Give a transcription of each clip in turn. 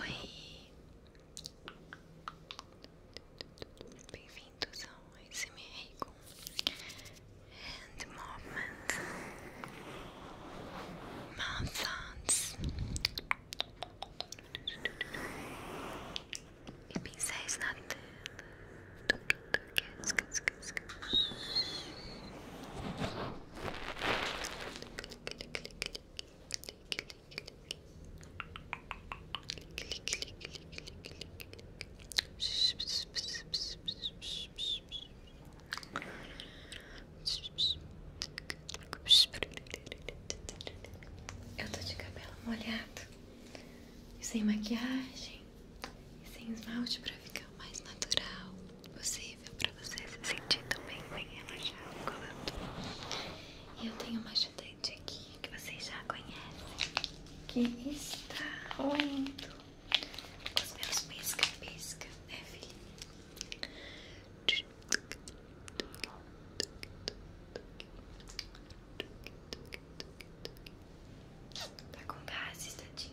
Oi, bem-vindos ao SMR com Hand Movement Mouth Sounds e pincéis na tela. Eu tô de cabelo molhado e sem maquiagem e sem esmalte para ficar mais natural possível para você se sentir também bem relaxado colando. E eu tenho uma ajudante aqui que vocês já conhecem, que está roendo com os meus pisca-pisca, né filho? Tá com gases, tadinha.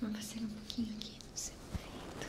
Vou fazer um pouquinho aqui no seu peito.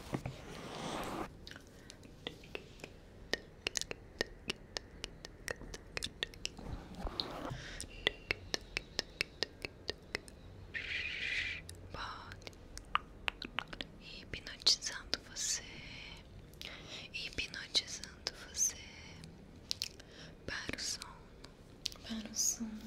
hipnotizando você, hipnotizando você para o sono, para o sono.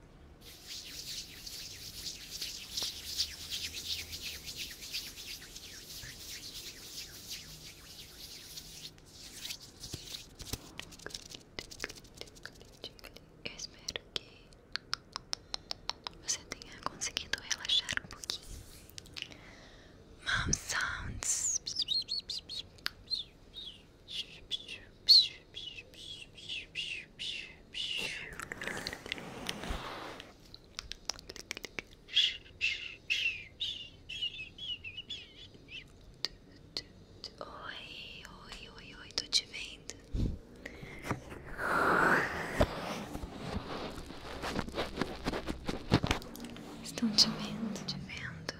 Eu espero que você tenha conseguido relaxar um pouquinho. Mom sounds. Oi, oi, oi, oi, tô te vendo. Estão te vendo, te vendo,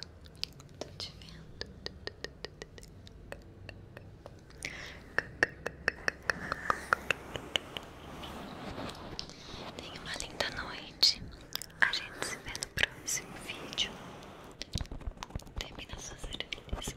tô te vendo. Tenha uma linda noite. A gente se vê no próximo vídeo. Termina suas orelhas.